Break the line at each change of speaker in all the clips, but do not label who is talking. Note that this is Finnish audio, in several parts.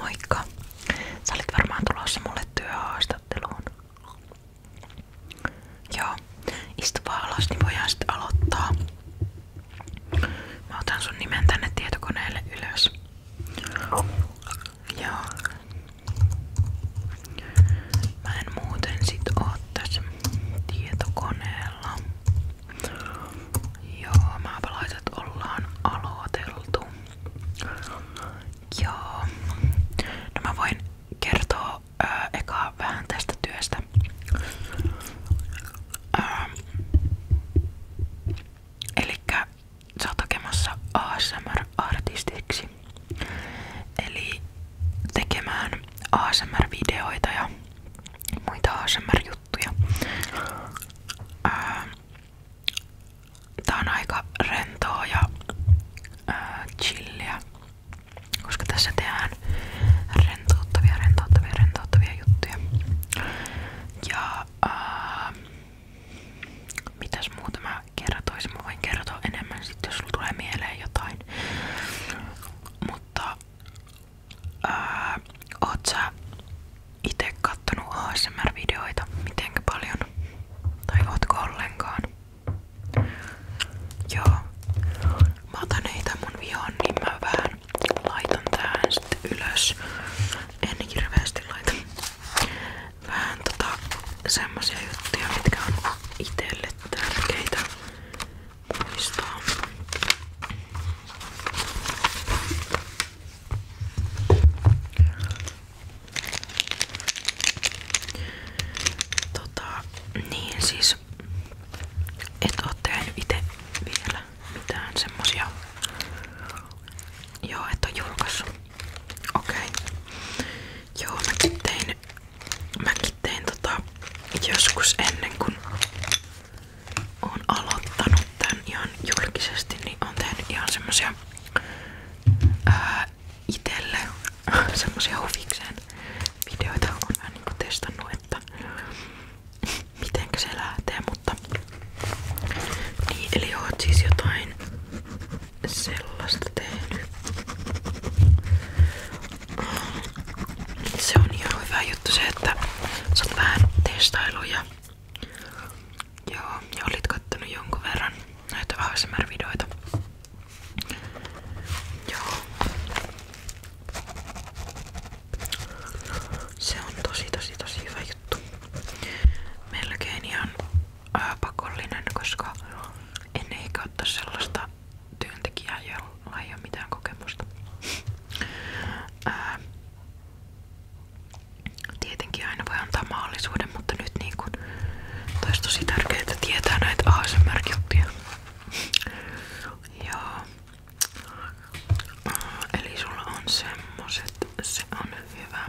Moikka! Sä olit varmaan tulossa mulle työhaastatteluun. Joo, istu vaan alas, niin voidaan sitten aloittaa. Mä otan sun nimen tänne tietokoneelle ylös. Joo. Mä en muuten sit oo tässä tietokoneella. Joo, maapalaiset ollaan aloiteltu. Joo. No voin kertoa eka vähän tästä työstä. Ö, elikkä sä oot hakemassa ASMR-artistiksi. Eli tekemään asmr ja muita asmr juttuja. Ää, tää on aika rentoa ja ää, chilliä, koska tässä tehdään rentouttavia, rentouttavia, rentouttavia juttuja. Ja ää, mitäs muuta mä kertoisin? Mä voin kertoa enemmän sitten, jos sulla tulee mieleen jotain. Mutta Öö, oot sä ite kattonut ASMR-videoita mitenkä paljon? Tai ootko ollenkaan? Joo. Mä otan niitä mun vihoon, niin mä vähän laitan tähän sitten ylös. En hirveästi laita. Vähän tota semmosia juttuja, mitkä on itelle tärkeitä muistaa. Tota, niin siis et oo tehnyt itse vielä mitään semmosia. Joo, et oo julkaissut. Okei. Okay. Joo, mäkin tein, mäkin tein tota joskus ennen kuin on aloittanut tän ihan julkisesti, niin on tehnyt ihan semmosia ää, itelle semmosia huvikseen videoita. On vähän niinku testannut, että mitenkä se lähtee, mutta niin, eli oot siis jotain sellaista tehnyt. Se on ihan hyvä juttu se, vähän testailuja. ja olit kattonut jonkun verran Se on tosi tosi tosi hyvä juttu. pakollinen, koska en ehkä ottaa sellaista työntekijää, jolla mulla ei ole mitään kokemusta. Ää, tietenkin aina voi antaa mahdollisuuden, mutta nyt niin kun, olisi tosi tärkeää, että tietää näitä ASMR-juttuja. Joo. Eli sulla on semmoset, se on hyvä.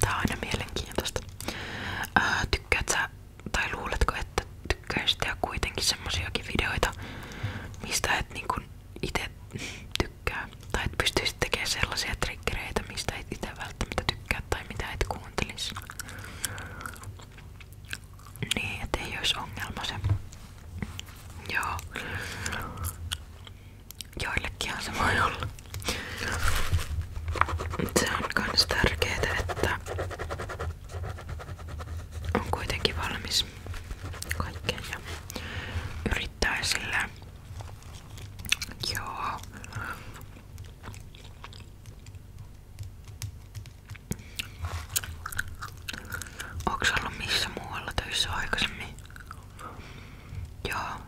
Tää on aina mielenkiintoista. Ää, äh, tykkäät sä, tai luuletko, että tykkäisit tehdä kuitenkin semmosiakin videoita, mistä et niinku ite tykkää? Tai et pystyisit tekemään sellaisia triggereitä, mistä et ite välttämättä tykkää tai mitä et kuuntelis. Niin, ettei ois ongelma se. Joo. Joillekinhan se voi olla. Se on myös tärkeää, että on kuitenkin valmis kaikkeen ja yrittää sillä. Joo. Onks ollut missä muualla töissä aikaisemmin? ja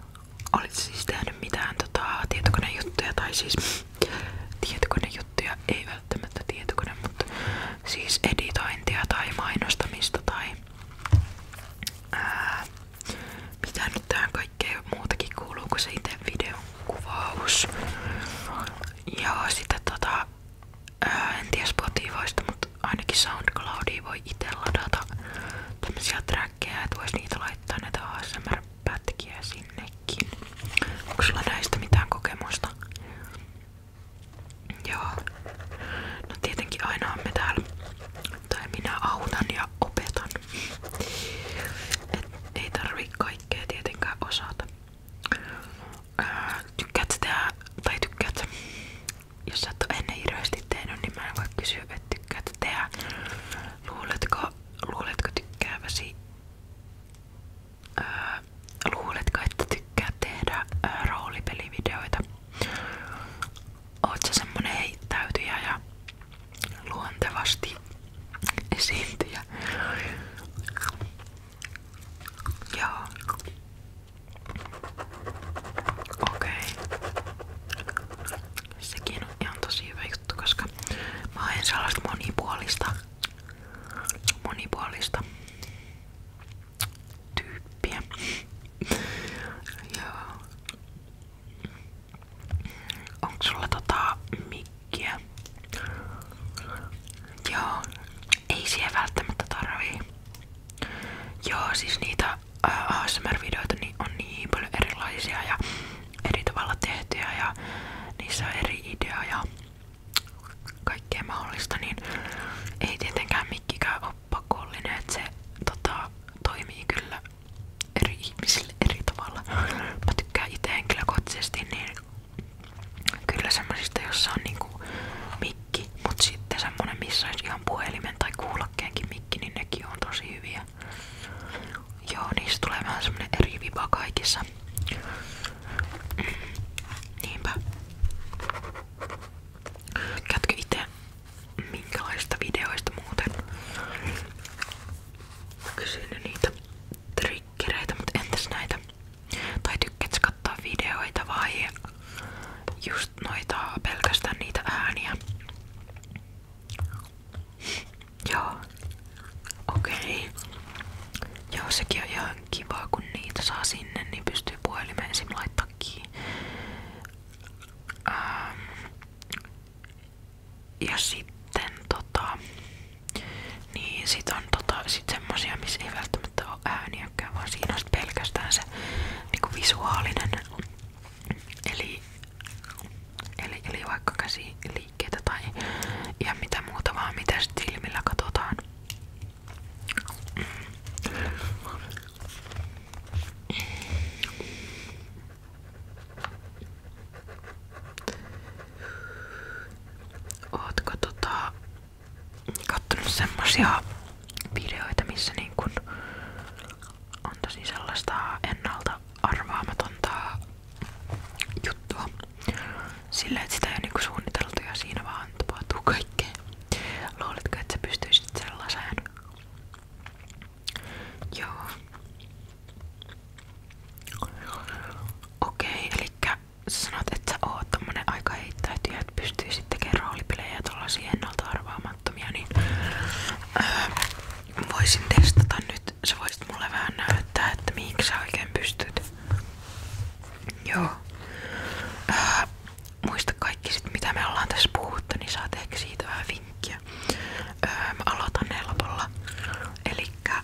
Olit siis mitään tota, tietokonejuttuja tai siis tietokonejuttuja, ei välttämättä tietokone, mutta siis editointia tai mainostamista tai ää, mitä nyt muutakin kuuluu kuin se itse videon sitten tota, ää, en ainakin SoundCloudia voi itse ladata tämmöisiä päkkejä, että vois niitä laittaa näitä ASMR-pätkiä sinnekin. Onko sulla näistä mitään kokemusta? Joo. No tietenkin aina me täällä, tai minä autan ja opetan. Et ei tarvii kaikkea tietenkään osata. Öö, tykkäät tehdä, tai tykkäät jos sä et ole ennen hirveästi tehnyt, niin mä en voi kysyä, että tykkäätkö tehdä. Luuletko, luuletko tykkääväsi? Öö, luuletko, että tykkää tehdä öö, roolipelivideoita? Oot sä semmonen heittäytyjä ja luontevasti esiintyjä? Joo. Okei. Sekin on ihan tosi hyvä juttu, koska mä haen sellaista monipuolista, monipuolista tyyppiä. Joo. Onko sulla tota mikkiä? Joo. Ei siihen välttämättä tarvii. Joo, siis niitä äh, ASMR-videoita niin on niin paljon erilaisia ja eri tavalla tehtyjä ja niissä on eri idea ja kaikkea mahdollista, niin ei tietenkään mikkikään ole pakollinen, että se tota, toimii kyllä eri ihmisille eri tavalla. Mä tykkään itse henkilökohtaisesti, niin kyllä semmoisista, jossa on niinku mikki, mutta sitten semmonen, missä olisi ihan puhelimen tai kuulla sakkeenkin mikki, niin nekin on tosi hyviä. Joo, niistä tulee vähän semmonen eri viba kaikissa. Mm, niinpä. Käytkö itse minkälaista videoista muuten? Mä kysyn niitä trikkereitä, mutta entäs näitä? Tai tykkäätkö videoita vai just noita, pelkästään niitä ääniä. Joo. Okei. Joo, sekin on ihan kiva, niitä saa sinne, niin pystyy puhelimeen esim. laittaa ähm. Ja sitten tota... Niin, sit on tota, sit semmosia, missä ei välttämättä välttämättä ole ääniäkään, vaan siinä on pelkästään se niinku visuaalinen. Eli, eli, eli vaikka käsi käsiliikkeitä tai ihan mitä muuta, vaan mitä silmillä katsotaan. Mm. Ootko tota kattonut semmosia videoita, missä niin kun on tosi sellaista ennalta arvaamatonta juttua. Sillä et sitä ei ole niinku suunniteltu ja siinä vaan tapahtuu kaikkea. Luuletko, että sä pystyisit sellaiseen? Joo. Okei, okay, eli sä sanot, että sä oot tommonen aika heittäytyjä, että pystyis pelasin tekemään roolipelejä tollasia ennalta arvaamattomia, niin öö, voisin testata nyt. Sä voisit mulle vähän näyttää, että mihinkä oikein pystyt. Joo. Öö, muista kaikki mitä me ollaan tässä puhuttu, niin saat vähän vinkkiä. Öö, mä aloitan helpolla. Elikkä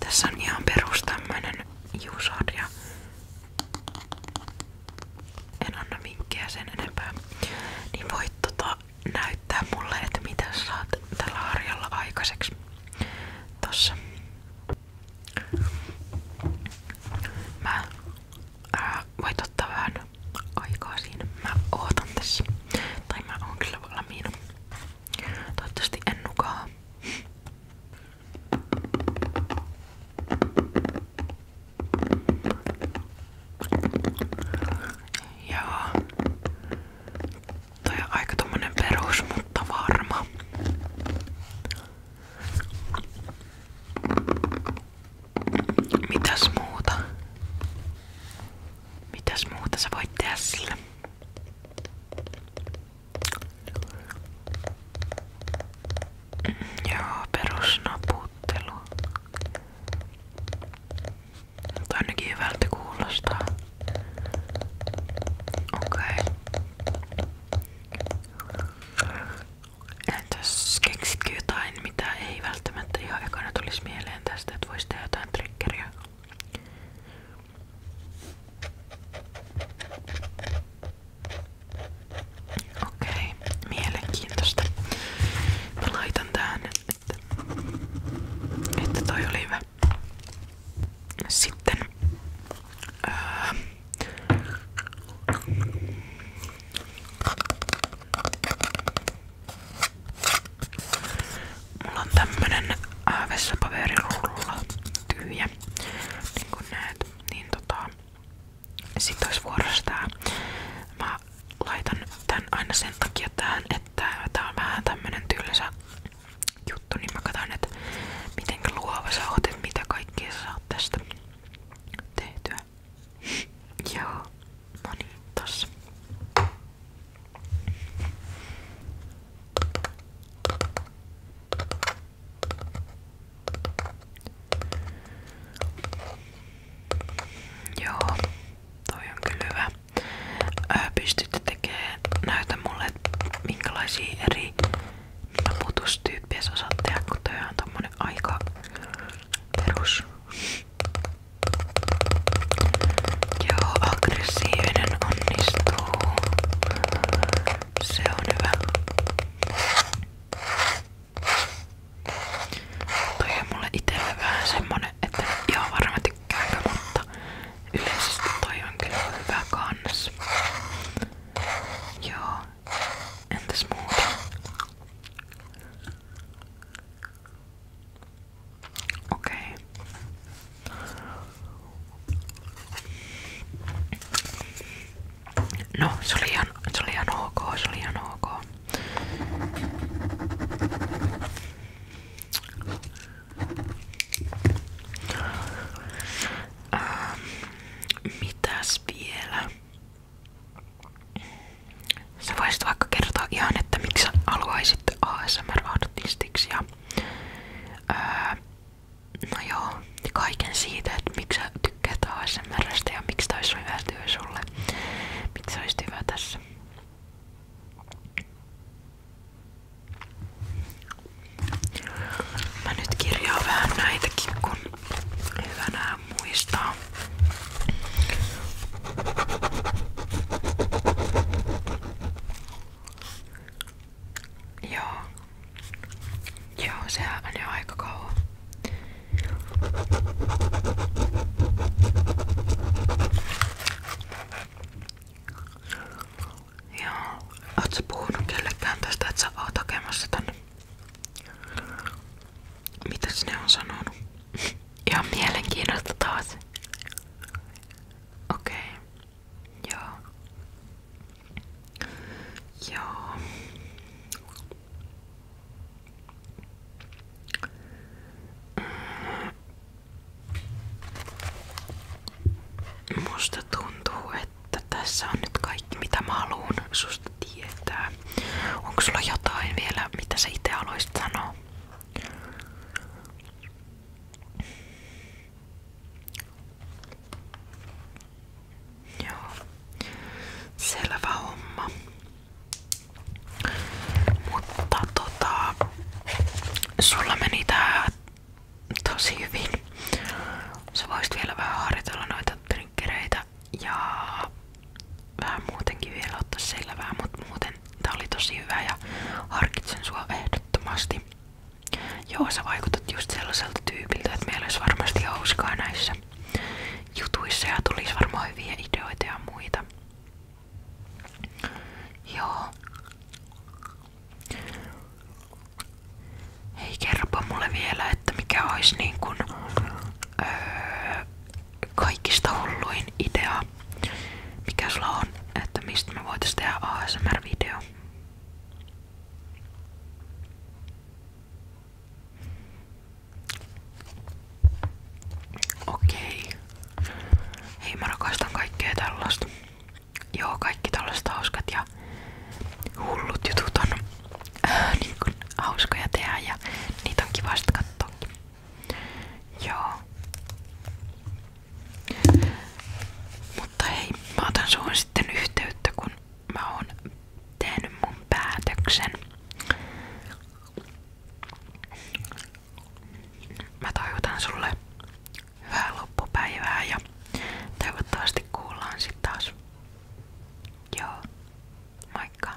Tässä on ihan perus tämmönen juusorja. En anna minkkiä sen enempää. Niin voit tota näyttää mulle, että mitä saat tällä harjalla aikaiseksi. Tossa. Mä ää, voit ottaa vähän aikaa siinä. Mä ootan tässä. Tai mä oon kyllä valmiina. Toivottavasti en nukaa. Joo. Toi on aika tommonen perus, mutta varma. Mitäs muuta? Mitäs muuta sä voit tehdä sillä? Joo, perusnaputtelu. Mutta ainakin hyvältä kuulostaa. Okei. Entäs keksitkö jotain, mitä ei välttämättä ihan ekana tulisi mieleen tästä, että voisi tehdä jotain triggeriä? Okei, mielenkiintoista. Mä laitan tähän, että, että toi oli hyvä. Sitten öö, Mulla on tämmönen äh, vessapaperirulla tyhjä, niin kuin näet, niin tota, sit ois vuorossa tää. Mä laitan tän aina sen takia tähän, että tää on vähän tämmönen tylsä juttu, niin mä katson, että miten luova sä oot, että mitä kaikkea sä saat tästä tehtyä. Joo, no niin, tossa. Joo, toi on kyllä hyvä. Ää, eri naputustyyppejä sä osaat tehdä, aika perus. Joo, aggressiivinen onnistuu. Se on hyvä. Toi on mulle itelle vähän semmonen, että ihan varmaan tykkäänkö, mutta yleisesti toi on kyllä hyvä kans. Joo. Entäs muuta? Okej. No, se oli, ihan, se oli ihan ok, ähm, mitäs vielä? Sä voisit vaikka kertoa ihan, että miksi haluaisit ASMR-artistiksi ja Öö, no joo, kaiken siitä, että miksi sä tykkäät ASMRstä ja miksi tää olisi hyvä työ sulle. Miksi sä olisit hyvä tässä. Mä nyt kirjaan vähän näitäkin, kun hyvä nää muistaa. Joo. Joo, sehän on jo aika kauan. Joo. Oot sä puhunut kellekään tästä, että sä oot hakemassa tänne? Mitäs ne on sanonut? Ihan mielenkiinnosta taas. Okej. Okay. Ja. Ja. Mm. Musta tuntuu, että tässä on nyt kaikki mitä mä haluan susta tietää. Onko sulla jotain vielä, mitä sä itse haluaisit sanoa? Selvä homma. Mutta tota, sulla meni tosi hyvin. Sä vielä vähän harjoitella noita trinkkereitä ja vähän muutenkin vielä ottaa selvää, mutta muuten Tää oli tosi hyvä ja harkitsen sua ehdottomasti. Joo, sä vaikutat just sellaiselta tyypiltä, että meillä olisi varmasti hauskaa näissä jutuissa ja tulisi varmaan hyviä ideoita ja muita. Joo. Hei, kerropa mulle vielä, että mikä olisi niin kun, öö, kaikista hulluin idea, mikä sulla on, että mistä me voitais tehdä ASMR-video? Okei. Hei, rakastan kaikkea tällaista. Joo, kaikki tällaiset hauskat ja hullut jutut äh, niin kun, hauskoja tehdä ja niitä on kiva sit Joo. Mutta hei, mä otan suun sitten yhteyttä, kun mä oon tehnyt mun päätöksen. Mä toivotan sulle hyvää loppupäivää ja toivottavasti kuullaan sitten taas. Joo, moikka!